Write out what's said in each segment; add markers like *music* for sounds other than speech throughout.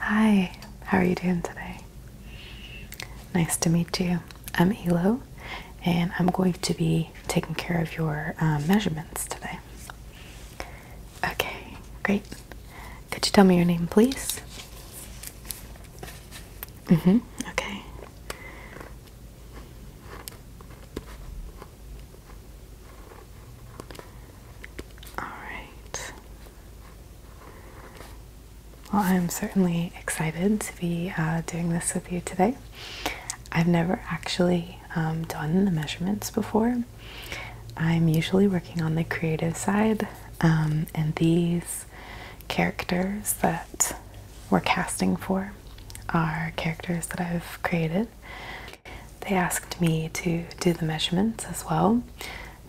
Hi, how are you doing today? Nice to meet you. I'm Elo, and I'm going to be taking care of your um, measurements today. Okay, great. Could you tell me your name, please? Mm hmm. Okay. All right. Well, I'm certainly excited to be uh, doing this with you today. I've never actually um, done the measurements before. I'm usually working on the creative side, um, and these characters that we're casting for are characters that I've created. They asked me to do the measurements as well,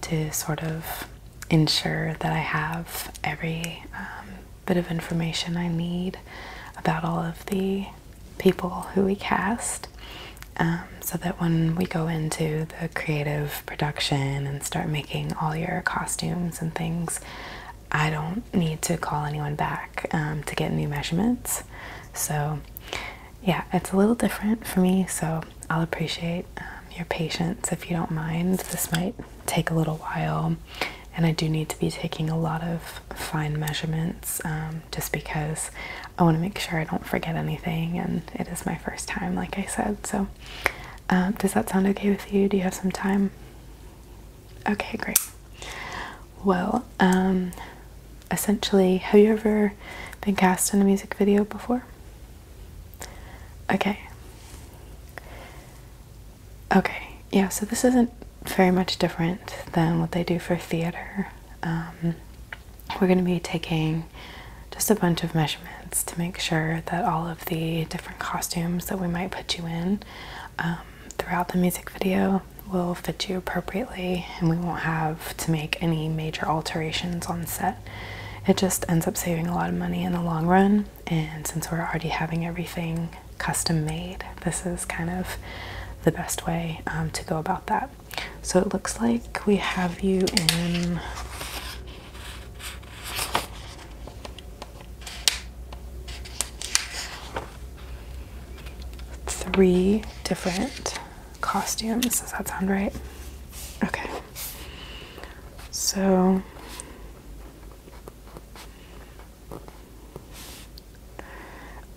to sort of ensure that I have every um, bit of information I need about all of the people who we cast. Um, so that when we go into the creative production and start making all your costumes and things, I don't need to call anyone back um, to get new measurements. So yeah, it's a little different for me, so I'll appreciate um, your patience if you don't mind. This might take a little while, and I do need to be taking a lot of fine measurements um, just because I want to make sure I don't forget anything, and it is my first time, like I said. So, um, does that sound okay with you? Do you have some time? Okay, great. Well, essentially, have you ever been cast in a music video before? Okay. Okay, yeah, so this isn't very much different than what they do for theater. Um, we're going to be taking just a bunch of measurements to make sure that all of the different costumes that we might put you in um, throughout the music video will fit you appropriately and we won't have to make any major alterations on set it just ends up saving a lot of money in the long run. And since we're already having everything custom made, this is kind of the best way um, to go about that. So it looks like we have you in. Three different costumes. Does that sound right? Okay. So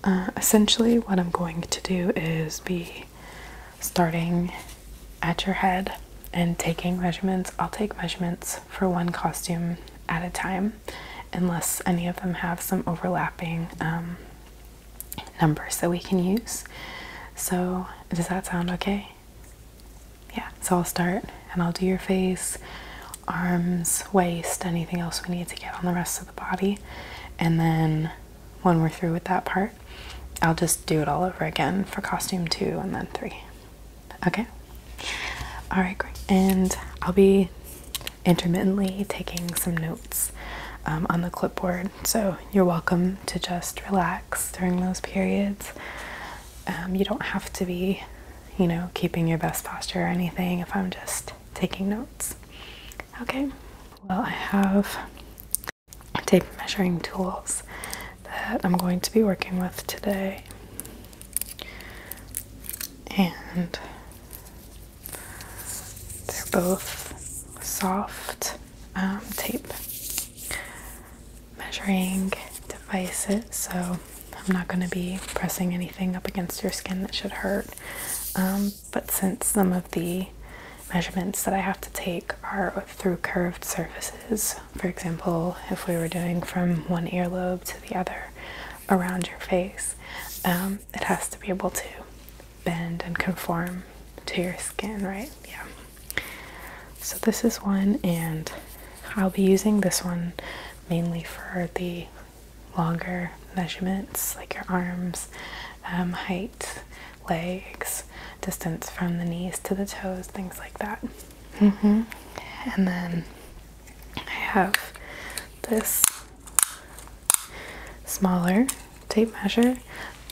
uh, essentially, what I'm going to do is be starting at your head and taking measurements. I'll take measurements for one costume at a time, unless any of them have some overlapping um, numbers that we can use. So, does that sound okay? Yeah, so I'll start and I'll do your face, arms, waist, anything else we need to get on the rest of the body. And then when we're through with that part, I'll just do it all over again for costume two and then three. Okay? Alright, great. And I'll be intermittently taking some notes um, on the clipboard, so you're welcome to just relax during those periods. Um, you don't have to be, you know, keeping your best posture or anything if I'm just taking notes. Okay, well, I have tape measuring tools that I'm going to be working with today. And they're both soft um, tape measuring devices, so I'm not going to be pressing anything up against your skin that should hurt. Um, but since some of the measurements that I have to take are through curved surfaces, for example, if we were doing from one earlobe to the other around your face, um, it has to be able to bend and conform to your skin, right? Yeah. So this is one, and I'll be using this one mainly for the longer measurements like your arms, um, height, legs, distance from the knees to the toes, things like that. Mm-hmm. And then I have this smaller tape measure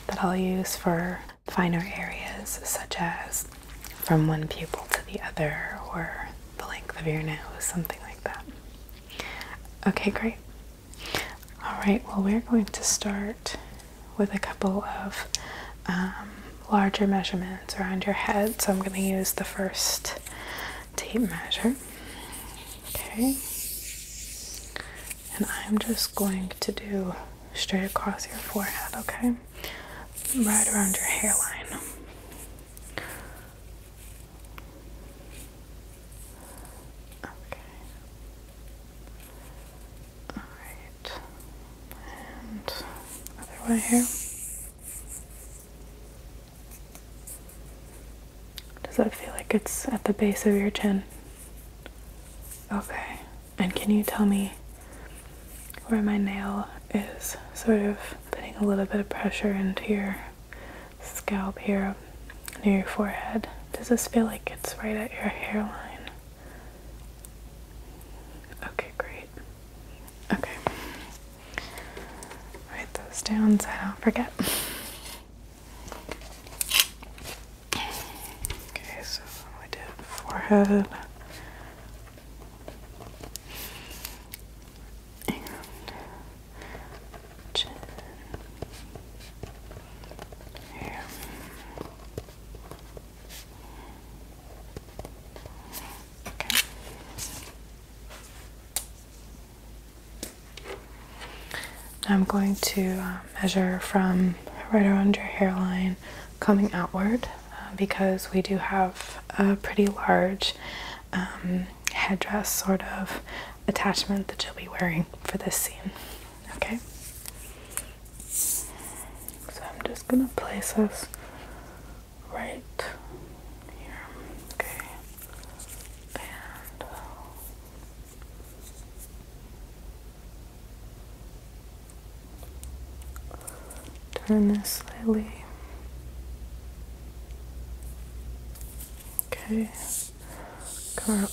that I'll use for finer areas, such as from one pupil to the other or the length of your nose, something like that. Okay, great. All right, well, we're going to start with a couple of um, larger measurements around your head. So I'm going to use the first tape measure. Okay. And I'm just going to do straight across your forehead, okay? Right around your hairline. Okay. Alright. And other way here. Does that feel like it's at the base of your chin? Okay. And can you tell me where my nail is sort of putting a little bit of pressure into your scalp here near your forehead? Does this feel like it's right at your hairline? Okay, great. Okay. Write those down so I don't forget. Okay, so we did forehead. chin. Here. Okay. I'm going to um, measure from right around your hairline coming outward uh, because we do have a pretty large um, headdress sort of attachment that you'll be wearing for this scene. Okay? So I'm just going to place this right here. Okay. And Turn this slightly. Okay, go up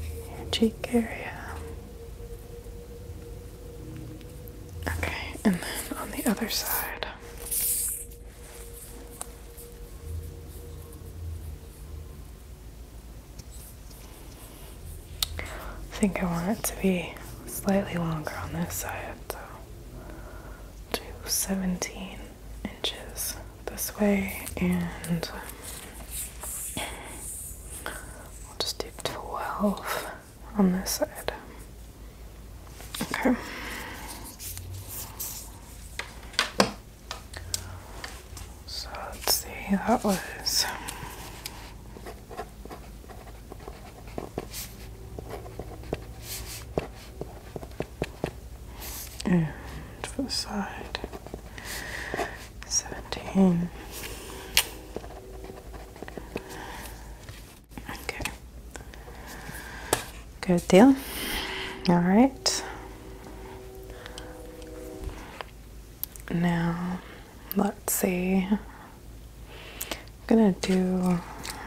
your cheek area. Okay, and then on the other side. I think I want it to be slightly longer on this side, so do 17 inches this way, and we'll just do 12 on this side. Okay. So let's see, that was and for the side seventeen. Okay, good deal. All right. Now, let's see. I'm gonna do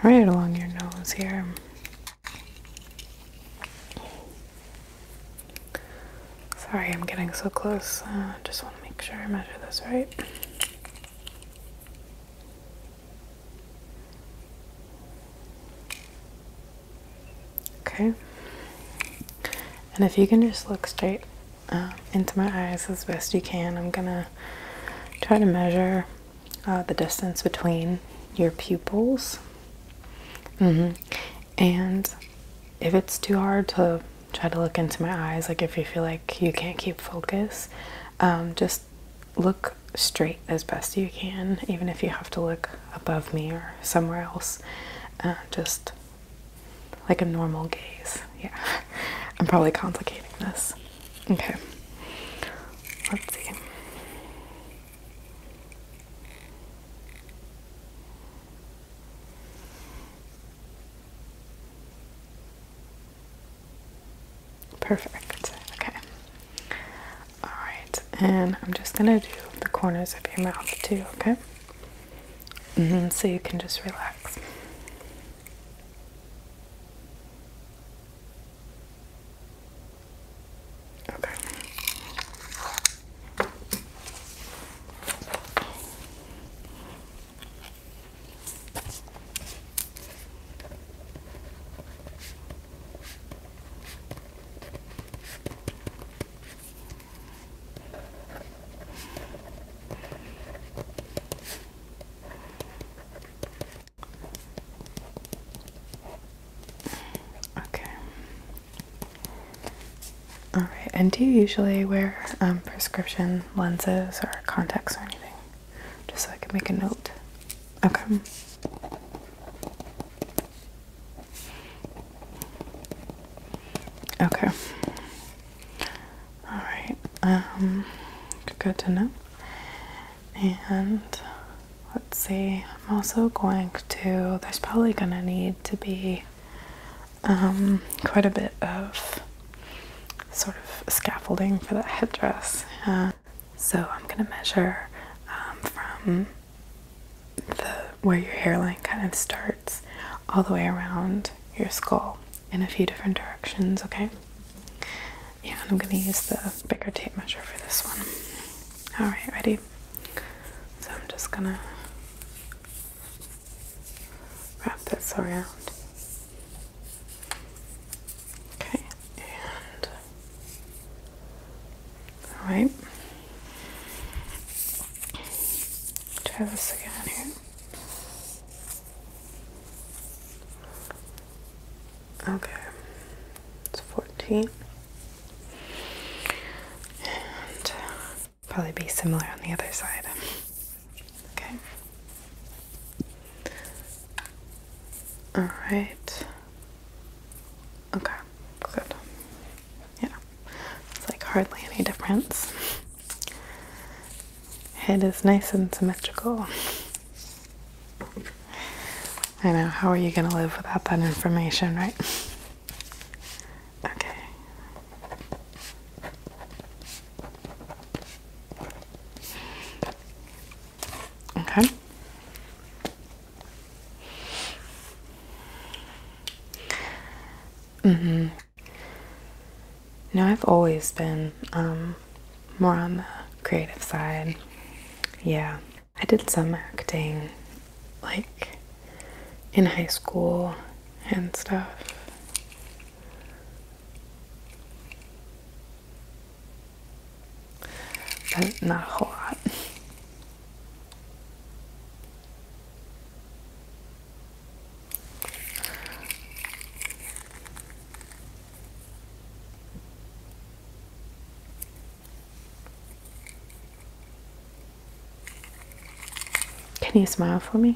right along your nose here. Sorry, I'm getting so close. Uh, just want to make sure I measure this right. Okay. And if you can just look straight um, into my eyes as best you can, I'm gonna try to measure uh, the distance between your pupils. Mm-hmm. And if it's too hard to try to look into my eyes, like if you feel like you can't keep focus, um, just look straight as best you can, even if you have to look above me or somewhere else. Uh, just like a normal gaze. Yeah, *laughs* I'm probably complicating this. Okay, let's see. Perfect. Okay. All right, and I'm just gonna do the corners of your mouth too. Okay. Mm-hmm. So you can just relax. Okay. Okay. All right. And do you usually wear um, prescription lenses or contacts or anything? Just so I can make a note. Okay. Okay. All right. Um, good to know. And let's see. I'm also going to. There's probably going to need to be um, quite a bit of sort of scaffolding for that headdress. Uh, so I'm going to measure um, from where your hairline kind of starts all the way around your skull in a few different directions, okay? Yeah, and I'm gonna use the bigger tape measure for this one. Alright, ready? So I'm just gonna wrap this around. Okay, and alright. Try this again here. Okay, it's 14. And probably be similar on the other side. Okay. All right. Okay, good yeah, it's like hardly any difference. Head is nice and symmetrical. I know, how are you gonna live without that information, right? Okay. Okay. Mm-hmm. No, I've always been um, more on the creative side. Yeah. I did some acting, like, in high school and stuff. But not a whole lot. *laughs* Can you smile for me?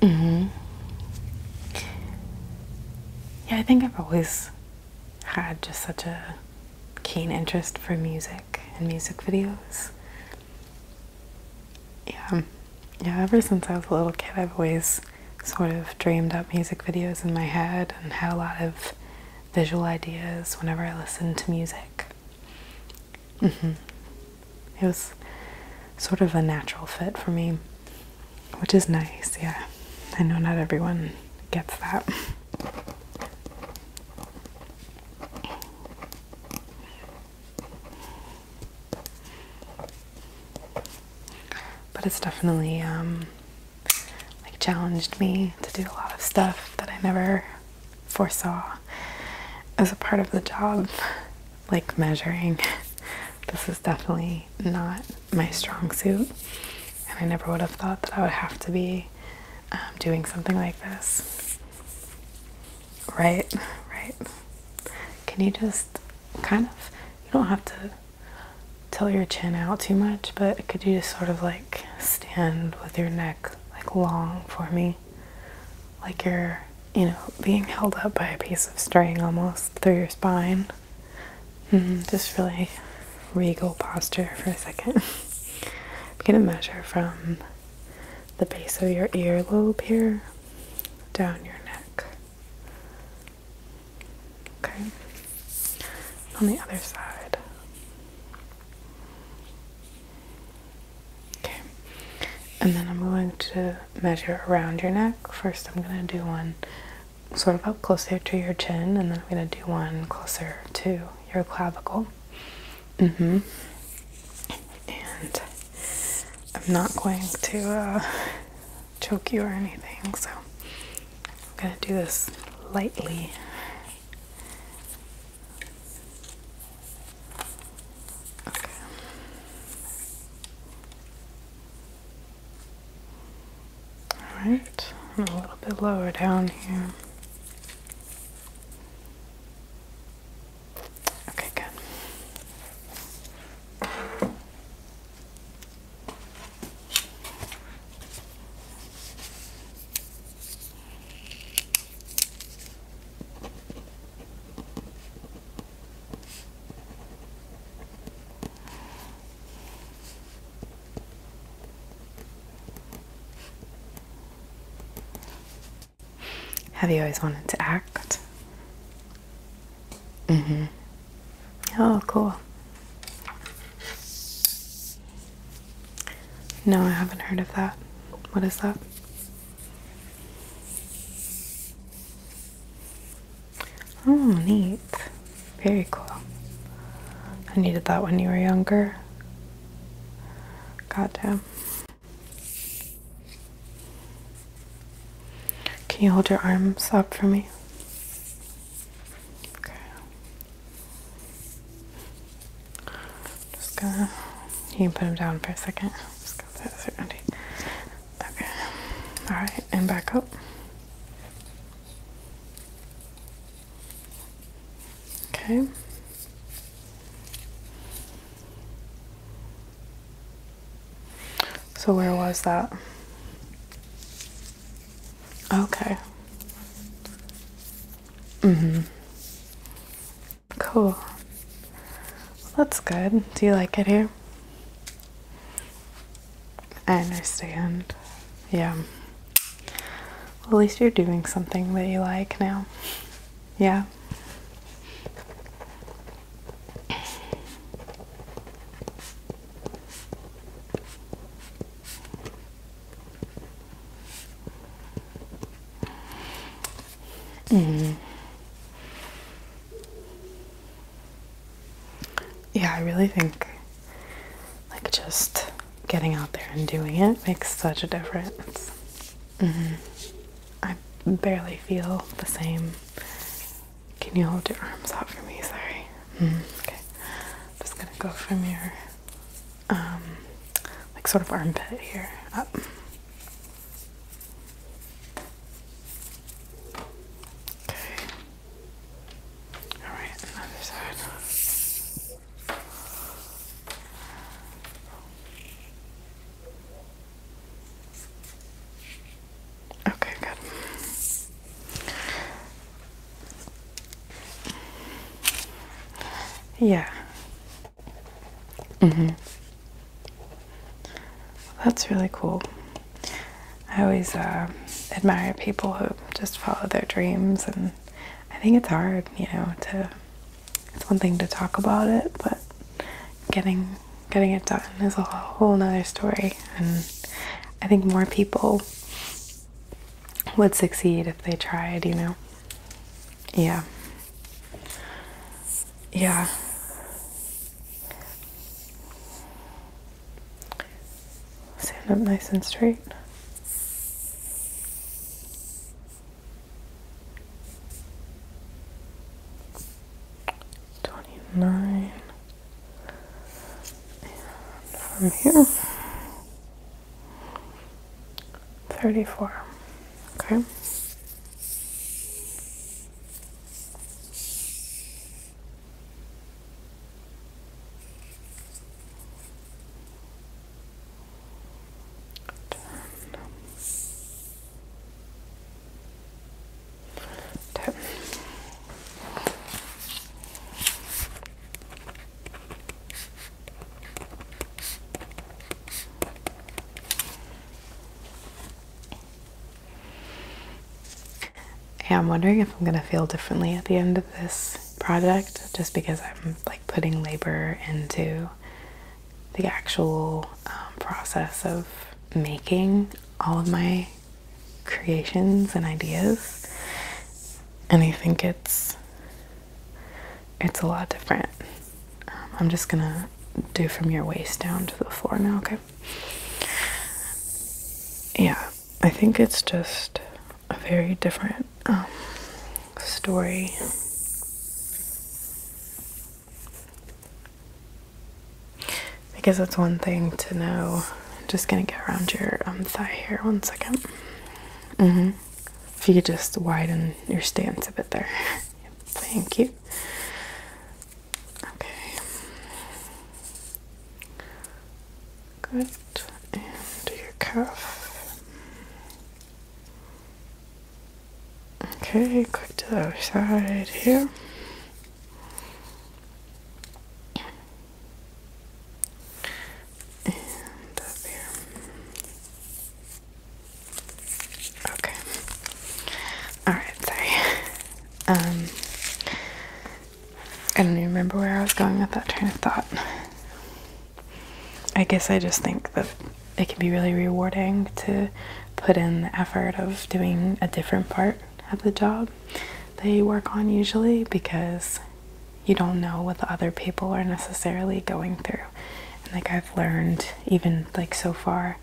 Mm-hmm. Yeah, I think I've always had just such a keen interest for music and music videos. Yeah. Yeah, ever since I was a little kid, I've always sort of dreamed up music videos in my head and had a lot of visual ideas whenever I listened to music. Mm-hmm. It was sort of a natural fit for me, which is nice, yeah. I know not everyone gets that. But it's definitely um, like challenged me to do a lot of stuff that I never foresaw as a part of the job, like measuring. This is definitely not my strong suit, and I never would have thought that I would have to be um, doing something like this. Right, right. Can you just kind of, you don't have to tilt your chin out too much, but could you just sort of like stand with your neck like long for me? Like you're, you know, being held up by a piece of string almost through your spine. Mm-hmm. Just really regal posture for a second. I'm *laughs* gonna measure from the base of your earlobe here down your neck. Okay. On the other side. Okay. And then I'm going to measure around your neck. First, I'm going to do one sort of up closer to your chin, and then I'm going to do one closer to your clavicle. Mm hmm. And I'm not going to uh, choke you or anything. So I'm going to do this lightly. Okay. All a little bit lower down here. Okay, good. Have you always wanted to act? Mm hmm. Oh, cool. No, I haven't heard of that. What is that? Oh, neat. Very cool. I needed that when you were younger. Goddamn. Can you hold your arms up for me? Okay. Just gonna. You can put him down for a second. Just got that certainty. Okay. Alright, and back up. Okay. So, where was that? Okay. Mm-hmm. Cool. that's good. Do you like it here? I understand. Yeah. at least you're doing something that you like now. Yeah. Mm-hmm. Yeah, I really think like just getting out there and doing it makes such a difference. Mm-hmm. I barely feel the same can you hold your arms out for me? Sorry. Hmm. okay. I'm just gonna go from your um, like sort of armpit here up. Okay. All right, another side. Okay, good. Yeah. Mhm. Mm That's really cool. I always uh, admire people who just follow their dreams, and I think it's hard, you know. To it's one thing to talk about it, but getting getting it done is a whole nother story, and I think more people would succeed if they tried, you know? Yeah. Yeah. Stand up nice and straight. Twenty nine from here 34 okay Ten. I'm wondering if I'm gonna feel differently at the end of this project just because I'm like putting labor into the actual um, process of making all of my creations and ideas and I think it's it's a lot different. Um, I'm just gonna do from your waist down to the floor now, okay? Yeah, I think it's just a very different um, story. I guess it's one thing to know I'm just gonna get around your um, thigh here one second. Mm-hmm. If you could just widen your stance a bit there. *laughs* Thank you. Okay. Good. And your cuff. Okay, quick to the other side here. Okay. Alright, sorry. Um I don't even remember where I was going with that train of thought. I guess I just think that it can be really rewarding to put in the effort of doing a different part of the job that you work on usually because you don't know what the other people are necessarily going through. And like I've learned even like so far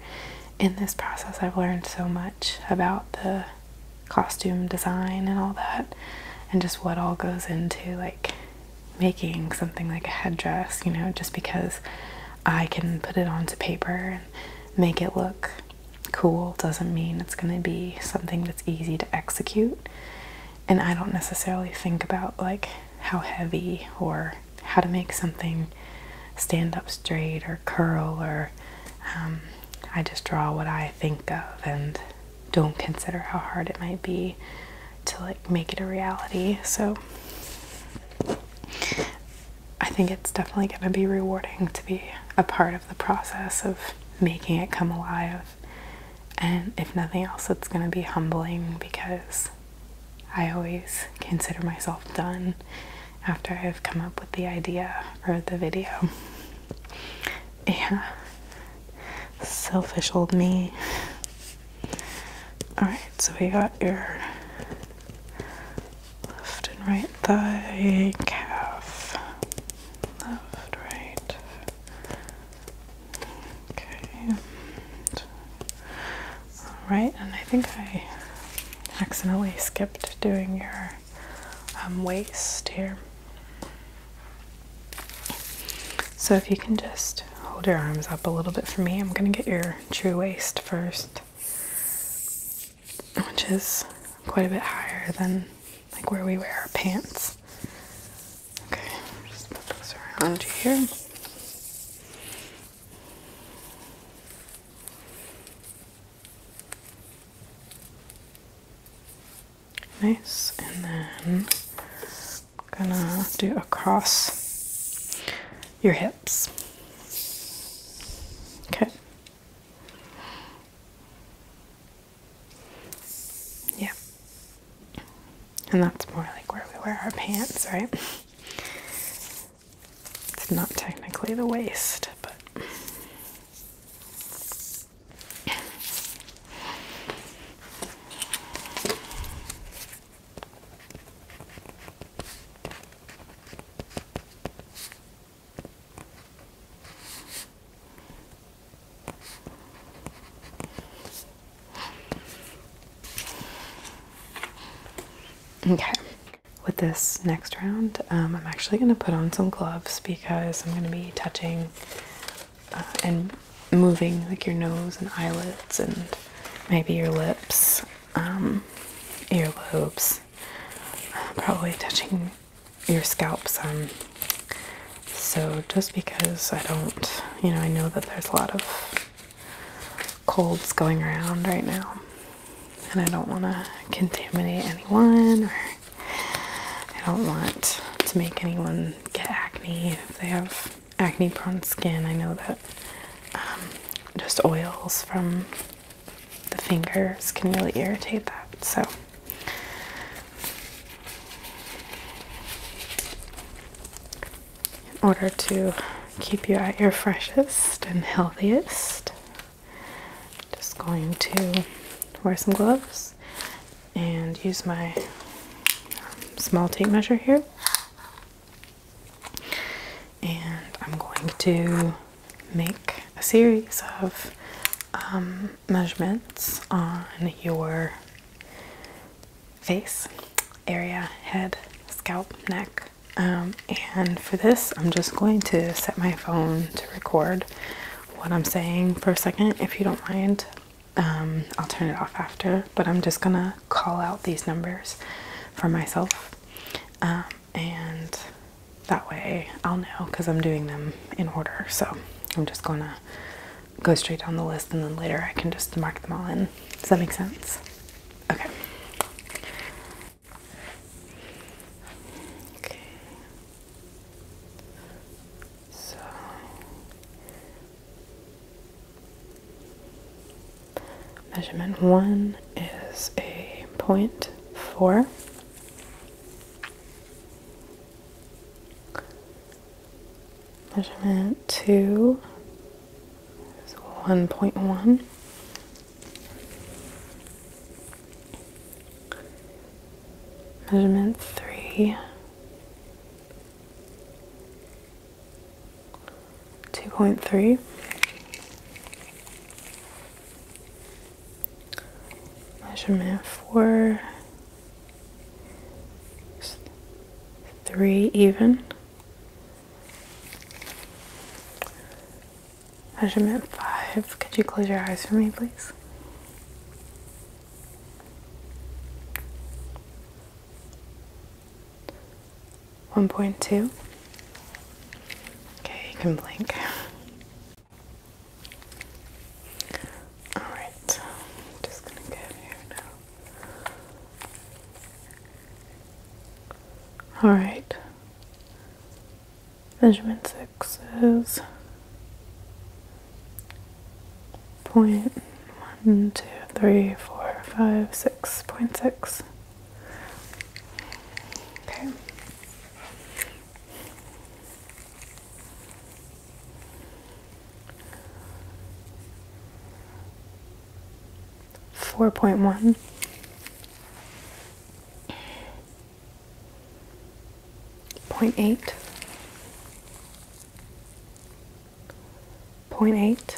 in this process I've learned so much about the costume design and all that and just what all goes into like making something like a headdress, you know, just because I can put it onto paper and make it look cool doesn't mean it's going to be something that's easy to execute. And I don't necessarily think about like how heavy or how to make something stand up straight or curl or um, I just draw what I think of and don't consider how hard it might be to like make it a reality. So I think it's definitely going to be rewarding to be a part of the process of making it come alive. And if nothing else, it's going to be humbling because I always consider myself done after I've come up with the idea or the video. *laughs* Yeah. Selfish old me. Alright, so we got your left and right thigh, calf, left, right. Okay. Alright, and I think I accidentally skipped doing your um, waist here. So if you can just hold your arms up a little bit for me, I'm going to get your true waist first, which is quite a bit higher than like where we wear our pants. Okay, just put those around here. Nice, and then I'm gonna do across your hips. Okay. Yeah. And that's more like where we wear our pants, right? It's not technically the waist, but. Okay, with this next round, um, I'm actually going to put on some gloves because I'm going to be touching uh, and moving like your nose and eyelids and maybe your lips, um, earlobes, uh, probably touching your scalps, some. So just because I don't, you know, I know that there's a lot of colds going around right now, and I don't want to contaminate anyone, or I don't want to make anyone get acne if they have acne prone skin. I know that um, just oils from the fingers can really irritate that. So in order to keep you at your freshest and healthiest. Just going to wear some gloves and use my um, small tape measure here. And I'm going to make a series of um, measurements on your face area, head, scalp, neck. Um, and for this, I'm just going to set my phone to record what I'm saying for a second. If you don't mind, um, I'll turn it off after, but I'm just gonna call out these numbers for myself. Um, and that way I'll know because I'm doing them in order. So I'm just gonna go straight down the list and then later I can just mark them all in. Does that make sense? Okay. Okay. So measurement one is a point four. Measurement two is 1.1. Measurement three, 2.3. Measurement four three even measurement five could you close your eyes for me please one point two okay you can blink Alright, so I'm just gonna get here now. Alright. Measurement six is point one, two, three, four, five, six, point six. Okay. Four point one. Point eight. Point eight.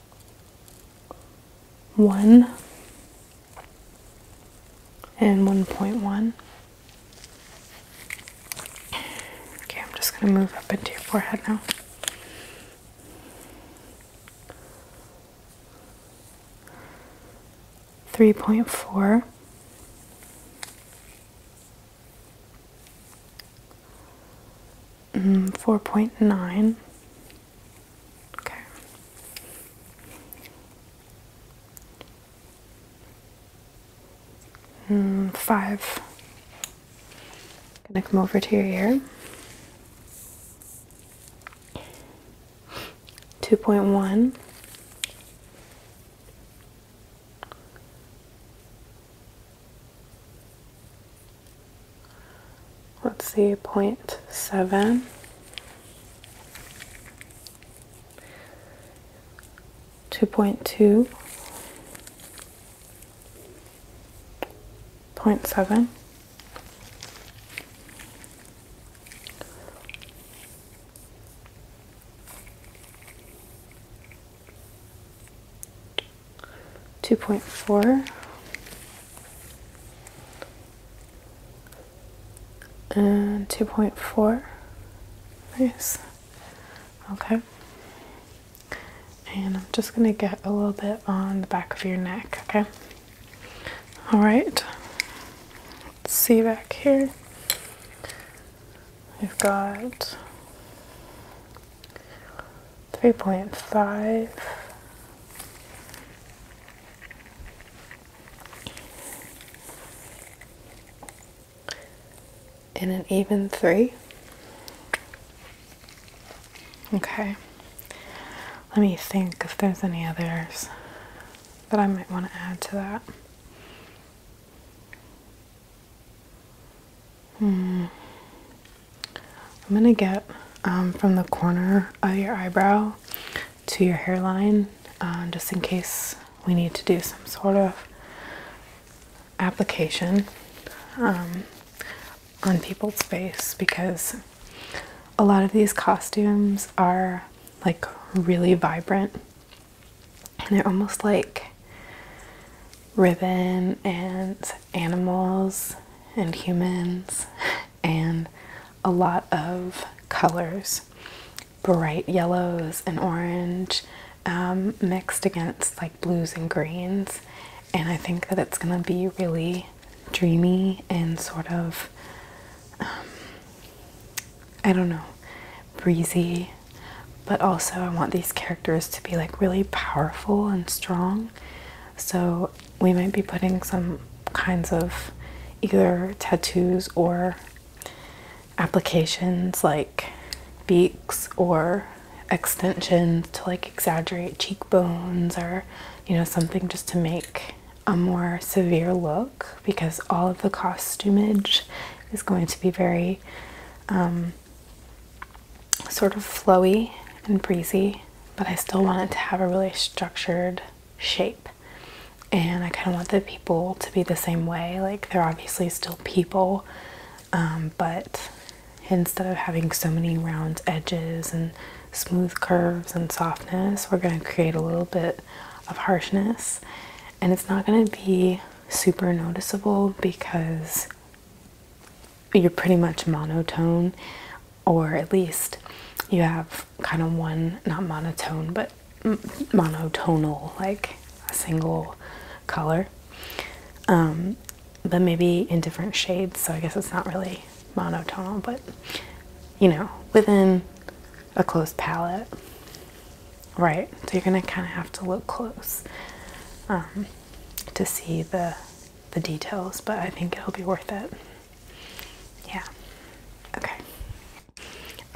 1 and 1.1. Okay, I'm just going to move up into your forehead now. Three point four, Mm, 4.9. Okay. Mm, five. Gonna come over to your ear. 2.1. Let's see, 0.7. Two point two, point seven, two point four and two point four. Nice. Okay. And I'm just going to get a little bit on the back of your neck, okay? All right. Let's see back here. We've got 3.5 and an even 3 okay let me think if there's any others that I might want to add to that Hmm. I'm gonna get um, from the corner of your eyebrow to your hairline uh, just in case we need to do some sort of application um, on people's face because a lot of these costumes are like really vibrant and they're almost like ribbon and animals and humans, and a lot of colors bright yellows and orange um, mixed against like blues and greens. And I think that it's gonna be really dreamy and sort of, um, I don't know, breezy. But also, I want these characters to be like really powerful and strong. So we might be putting some kinds of either tattoos or applications like beaks or extensions to like exaggerate cheekbones or you know something just to make a more severe look because all of the costumage is going to be very um, sort of flowy and breezy, but I still want it to have a really structured shape. And I kind of want the people to be the same way. Like they're obviously still people, um, but instead of having so many round edges and smooth curves and softness, we're going to create a little bit of harshness. And it's not going to be super noticeable because you're pretty much monotone, or at least you have kind of one, not monotone, but monotonal, like a single color. Um, but maybe in different shades, so I guess it's not really monotonal, but you know, within a close palette, right? So you're gonna kind of have to look close um, to see the the details, but I think it'll be worth it. Yeah. Okay.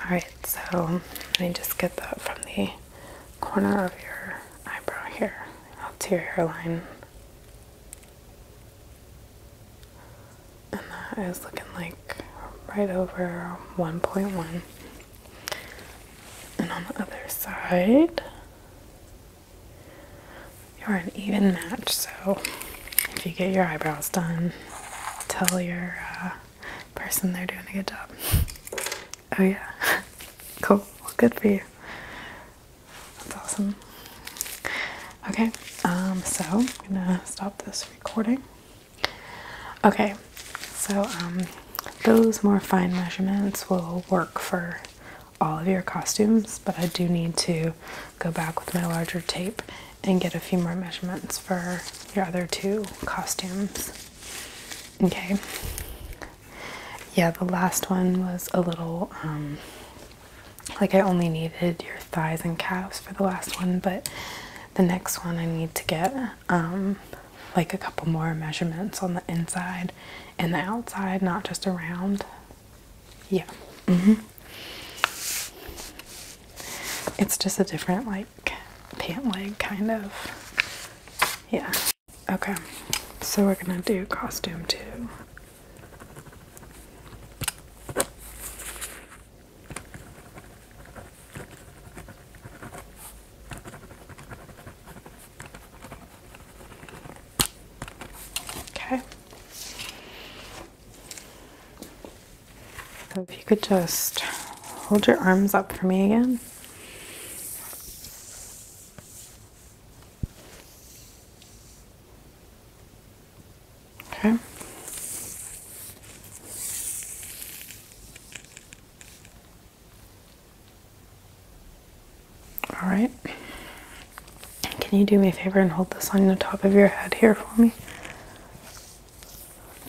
Alright, so let me just get that from the corner of your eyebrow here up to your hairline. And that is looking like right over 1.1. And on the other side, you're an even match, so if you get your eyebrows done, tell your uh, person they're doing a good job. *laughs* Oh, yeah. *laughs* Cool. Well, good for you. That's awesome. Okay, um, so I'm gonna stop this recording. Okay, so um, those more fine measurements will work for all of your costumes, but I do need to go back with my larger tape and get a few more measurements for your other two costumes. Okay. Yeah, the last one was a little um, like I only needed your thighs and calves for the last one, but the next one I need to get um, like a couple more measurements on the inside and the outside, not just around. Yeah. hmm It's just a different like pant leg kind of. Yeah. Okay. So we're gonna do costume too. Okay. if you could just hold your arms up for me again. Okay. All right. Can you do me a favor and hold this on the top of your head here for me?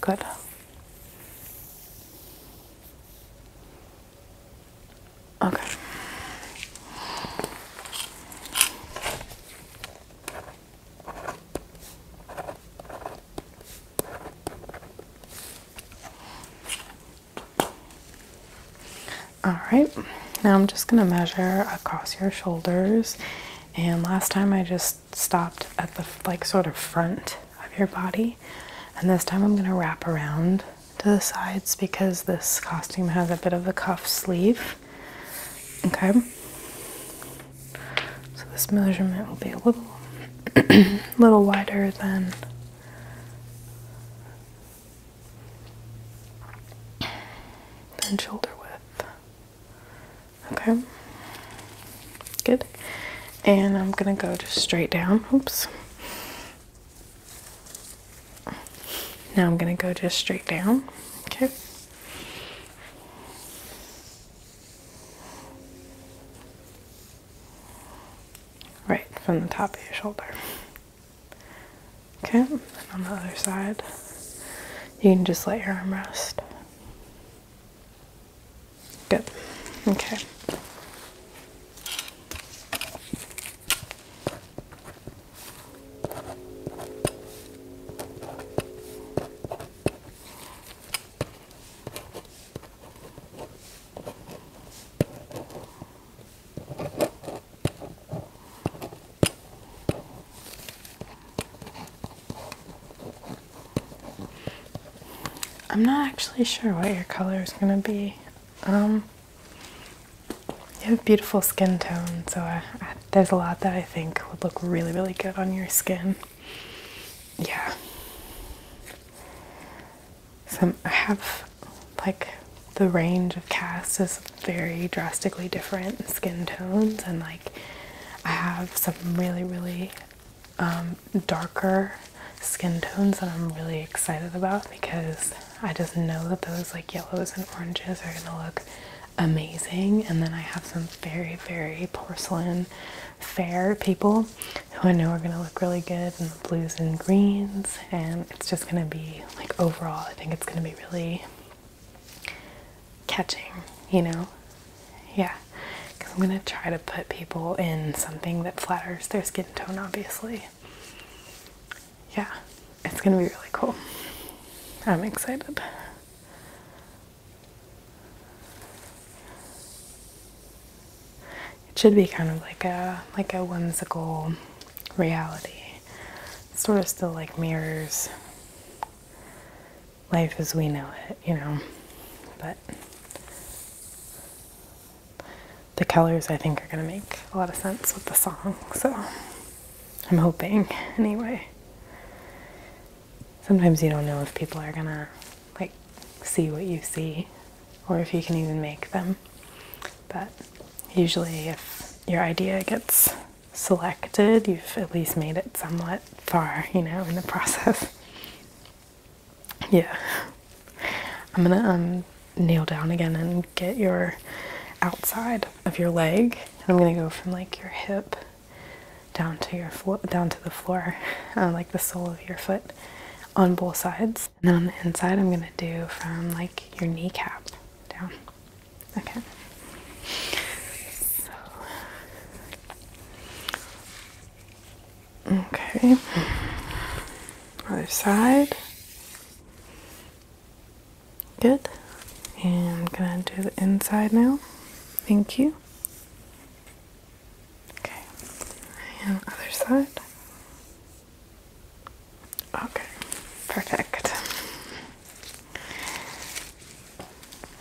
Good. Okay. All right, now I'm just going to measure across your shoulders. And last time I just stopped at the like sort of front of your body. And this time I'm going to wrap around to the sides because this costume has a bit of a cuff sleeve. Okay. So this measurement will be a little *clears throat* little wider than then shoulder width. Okay, good. And I'm gonna go just straight down. Oops. Now I'm gonna go just straight down. Okay. Right from the top of your shoulder. Okay, and on the other side, you can just let your arm rest. Good. Okay. I'm not actually sure what your color is going to be. Um, you have beautiful skin tone, so there's a lot that I think would look really, really good on your skin. Yeah. Some I have like the range of casts is very drastically different skin tones and like I have some really really um, darker skin tones that I'm really excited about because I just know that those like yellows and oranges are gonna look amazing and then I have some very very porcelain fair people who I know are gonna look really good in the blues and greens and it's just gonna be like overall I think it's gonna be really catching, you know? Yeah, because I'm gonna try to put people in something that flatters their skin tone, obviously. Yeah, it's gonna be really cool. I'm excited. It should be kind of like a like a whimsical reality sort of still like mirrors life as we know it, you know. But the colors I think are going to make a lot of sense with the song, so I'm hoping *laughs* anyway. Sometimes you don't know if people are going to like see what you see or if you can even make them. But usually, if your idea gets selected, you've at least made it somewhat far, you know, in the process. *laughs* yeah. I'm gonna um, kneel down again and get your outside of your leg. I'm gonna go from like your hip down to your floor, down to the floor, *laughs* uh, like the sole of your foot on both sides. And then on the inside, I'm gonna do from like your kneecap down. Okay. So. Okay. Other side. Good. And I'm gonna do the inside now. Thank you. Okay. And other side. Okay, perfect.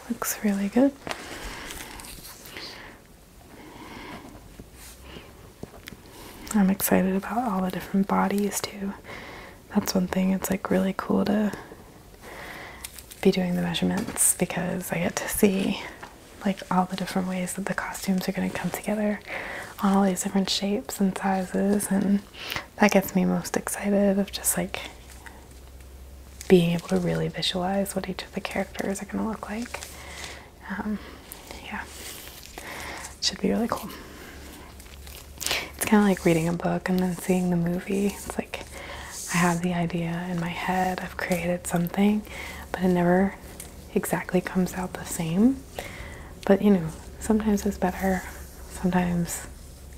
Looks really good. I'm excited about all the different bodies too. That's one thing, it's like really cool to be doing the measurements because I get to see like all the different ways that the costumes are going to come together on all these different shapes and sizes and that gets me most excited of just like being able to really visualize what each of the characters are going to look like. Um, yeah, should be really cool. It's kind of like reading a book and then seeing the movie. It's like I have the idea in my head, I've created something, but it never exactly comes out the same. But you know, sometimes it's better sometimes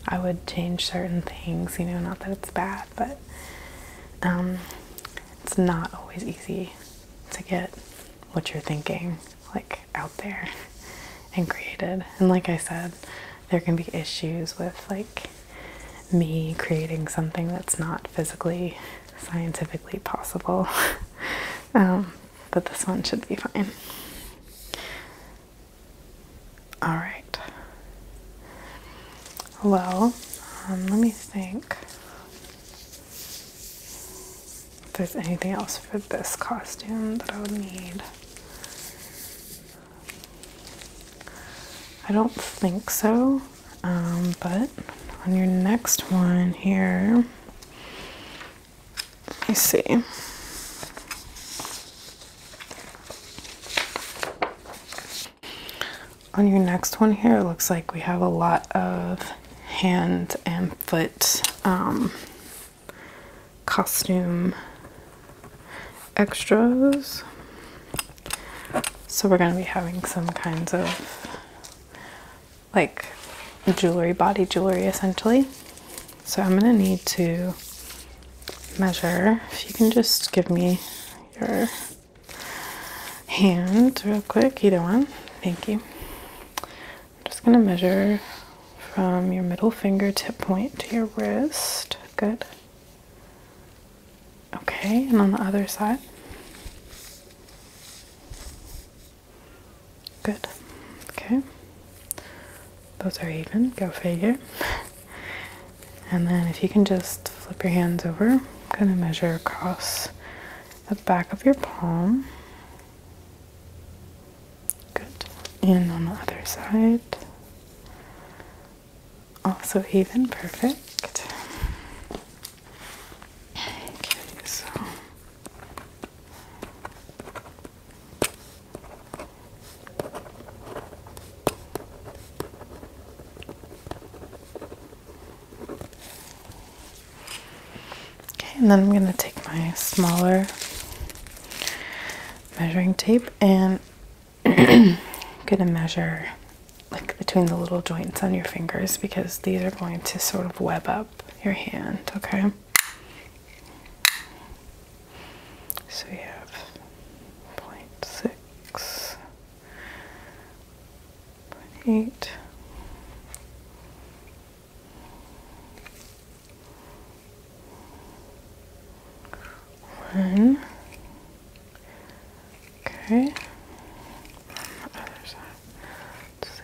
I would change certain things, you know, not that it's bad, but um, it's not always easy to get what you're thinking like out there and created. And like I said, there can be issues with like me creating something that's not physically scientifically possible. *laughs* Um, but this one should be fine. All right. Well, um, let me think if there's anything else for this costume that I would need. I don't think so, um, but on your next one here, let me see. On your next one here, it looks like we have a lot of hand and foot um, costume extras. So we're going to be having some kinds of like jewelry, body jewelry essentially. So I'm going to need to measure. If you can just give me your hand real quick, either one. Thank you. I'm just going to measure from your middle finger tip point to your wrist. Good. Okay, and on the other side. Good. Okay. Those are even. Go figure. and then if you can just flip your hands over, I'm going to measure across the back of your palm. Good. And on the other side. Also even. Perfect. Okay, so Okay, and then I'm going to take my smaller measuring tape and *clears throat* going to measure like between the little joints on your fingers because these are going to sort of web up your hand, okay? So we have point six, point eight. One. Okay. From the other side. Let's see.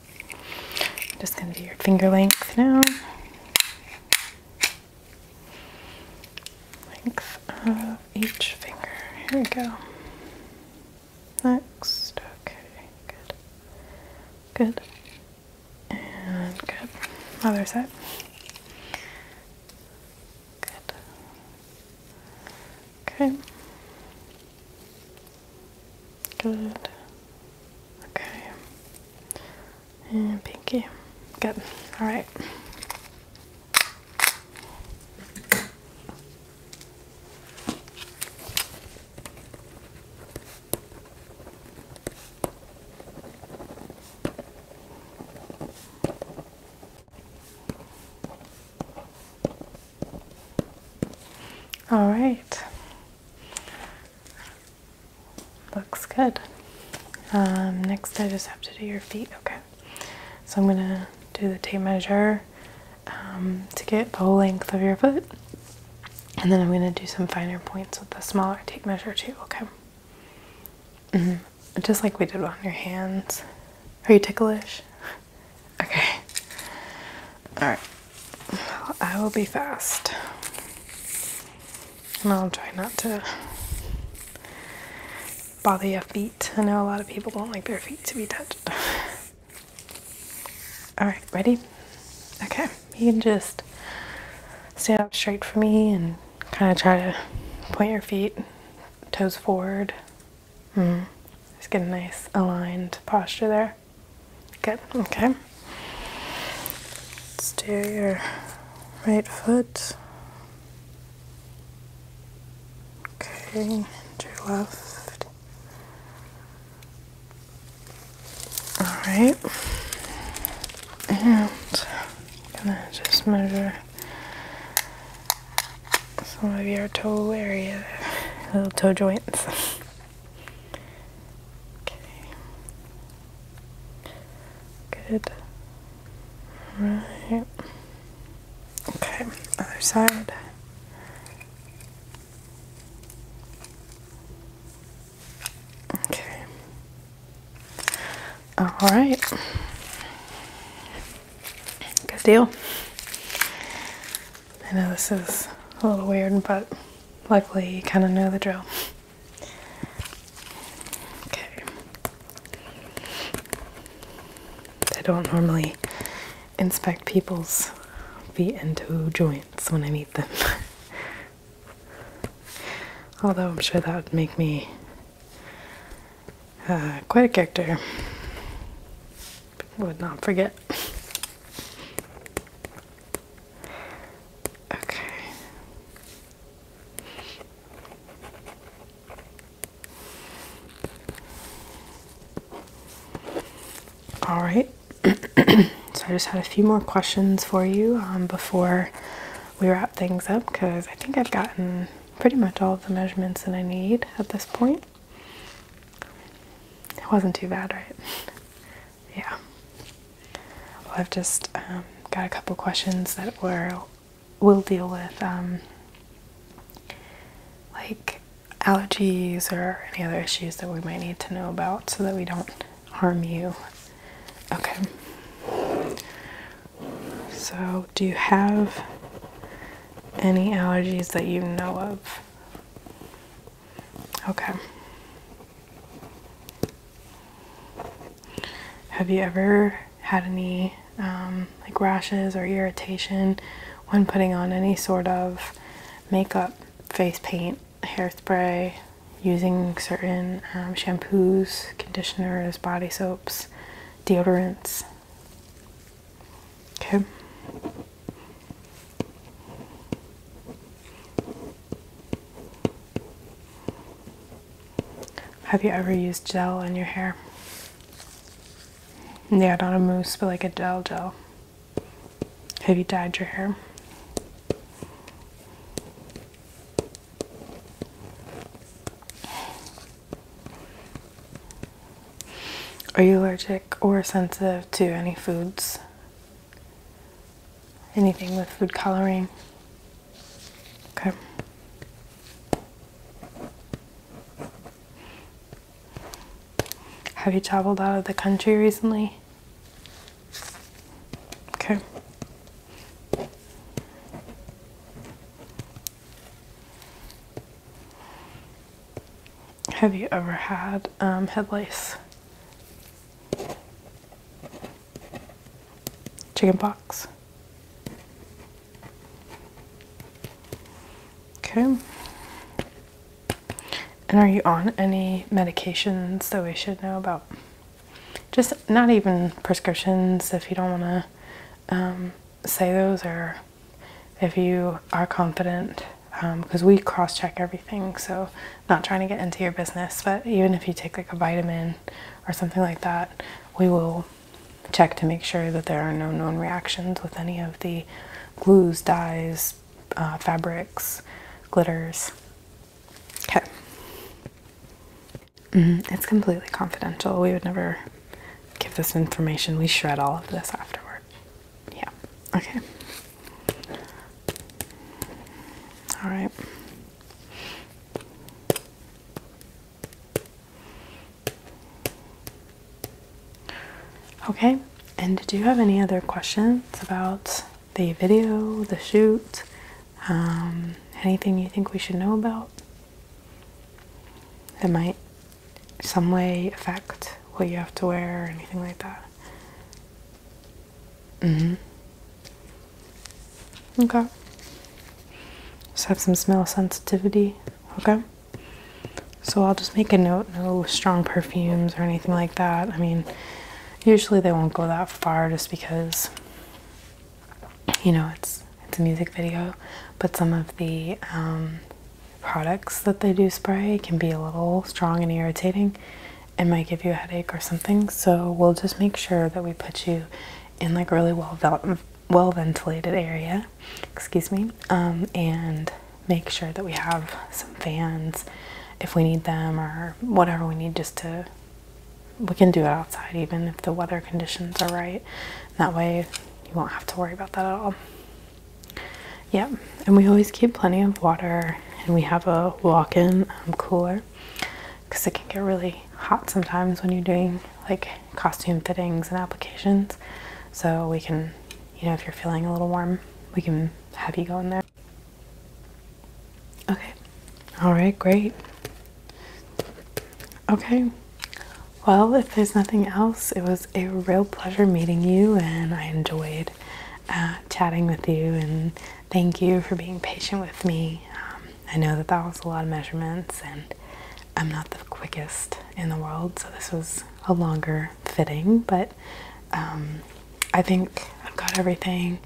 just going to do your finger length now. Length of each finger. Here we go. Next. Okay, good. Good. And good. Other side. Good. Okay. Good. Okay. And pinky. Good. All right. All right. Looks good. Um, next, I just have to do your feet. Okay. So I'm going to do the tape measure um, to get the whole length of your foot. And then I'm going to do some finer points with the smaller tape measure too. Okay. -hmm. Just like we did on your hands. Are you ticklish? *laughs* Okay. Alright. I will be fast. And I'll try not to bother your feet. I know a lot of people don't like their feet to be touched. Alright, ready? Okay. You can just stand up straight for me and kind of try to point your feet, toes forward. Mm. Just get a nice aligned posture there. Good, okay. Let's do your right foot. Okay, and your left. Alright. And I'm gonna just measure some of your toe area, little toe joints. *laughs* Okay. Good. Right. Okay, other side. Okay. All right. Good deal. I know this is a little weird, but luckily you kind of know the drill. Okay. I don't normally inspect people's feet and toe joints when I meet them. *laughs* Although I'm sure that would make me uh, quite a character. Would not forget. Okay. All right. *clears throat* so I just had a few more questions for you um, before we wrap things up because I think I've gotten pretty much all of the measurements that I need at this point. It wasn't too bad, right? yeah. Well, I've just um, got a couple questions that we'll deal with um, like allergies or any other issues that we might need to know about so that we don't harm you. Okay. So, do you have any allergies that you know of? Okay. Have you ever had any um, like rashes or irritation when putting on any sort of makeup, face paint, hairspray, using certain um, shampoos, conditioners, body soaps, deodorants? Okay. Have you ever used gel in your hair? Yeah, not a mousse, but like a gel gel. Have you dyed your hair? Are you allergic or sensitive to any foods? anything with food coloring. Okay. Have you traveled out of the country recently? Okay. Have you ever had um, head lice? Chicken pox. Okay. And are you on any medications that we should know about? Just not even prescriptions if you don't want to um, say those, or if you are confident because um, we cross check everything. So, not trying to get into your business, but even if you take like a vitamin or something like that, we will check to make sure that there are no known reactions with any of the glues, dyes, uh, fabrics, glitters. Okay. Mm-hmm. It's completely confidential. We would never give this information. We shred all of this afterward. Yeah. Okay. All right. Okay, and did you have any other questions about the video, the shoot, um, anything you think we should know about that might some way affect what you have to wear or anything like that? Mm hmm. Okay. Just have some smell sensitivity. Okay. So I'll just make a note no strong perfumes or anything like that. I mean, usually they won't go that far just because, you know, it's. It's a music video, but some of the um, products that they do spray can be a little strong and irritating, it might give you a headache or something. So we'll just make sure that we put you in like really well well ventilated area, excuse me, um, and make sure that we have some fans if we need them or whatever we need just to we can do it outside even if the weather conditions are right. That way you won't have to worry about that at all. Yeah, and we always keep plenty of water, and we have a walk in um, cooler because it can get really hot sometimes when you're doing like costume fittings and applications. So we can, you know, if you're feeling a little warm, we can have you go in there. Okay, all right, great. Okay. Well, if there's nothing else, it was a real pleasure meeting you, and I enjoyed uh, chatting with you and thank you for being patient with me. Um, I know that that was a lot of measurements, and I'm not the quickest in the world, so this was a longer fitting, but um, I think I've got everything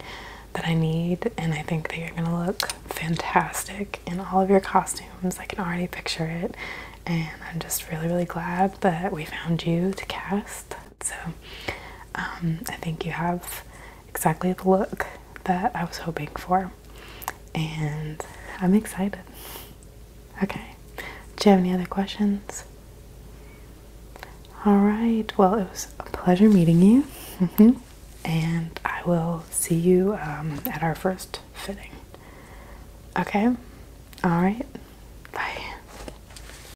that I need, and I think that you're gonna look fantastic in all of your costumes. I can already picture it, and I'm just really, really glad that we found you to cast. So um, I think you have exactly the look that I was hoping for, and I'm excited. Okay, do you have any other questions? All right, well, it was a pleasure meeting you, *laughs* and I will see you um, at our first fitting. Okay, all right, bye.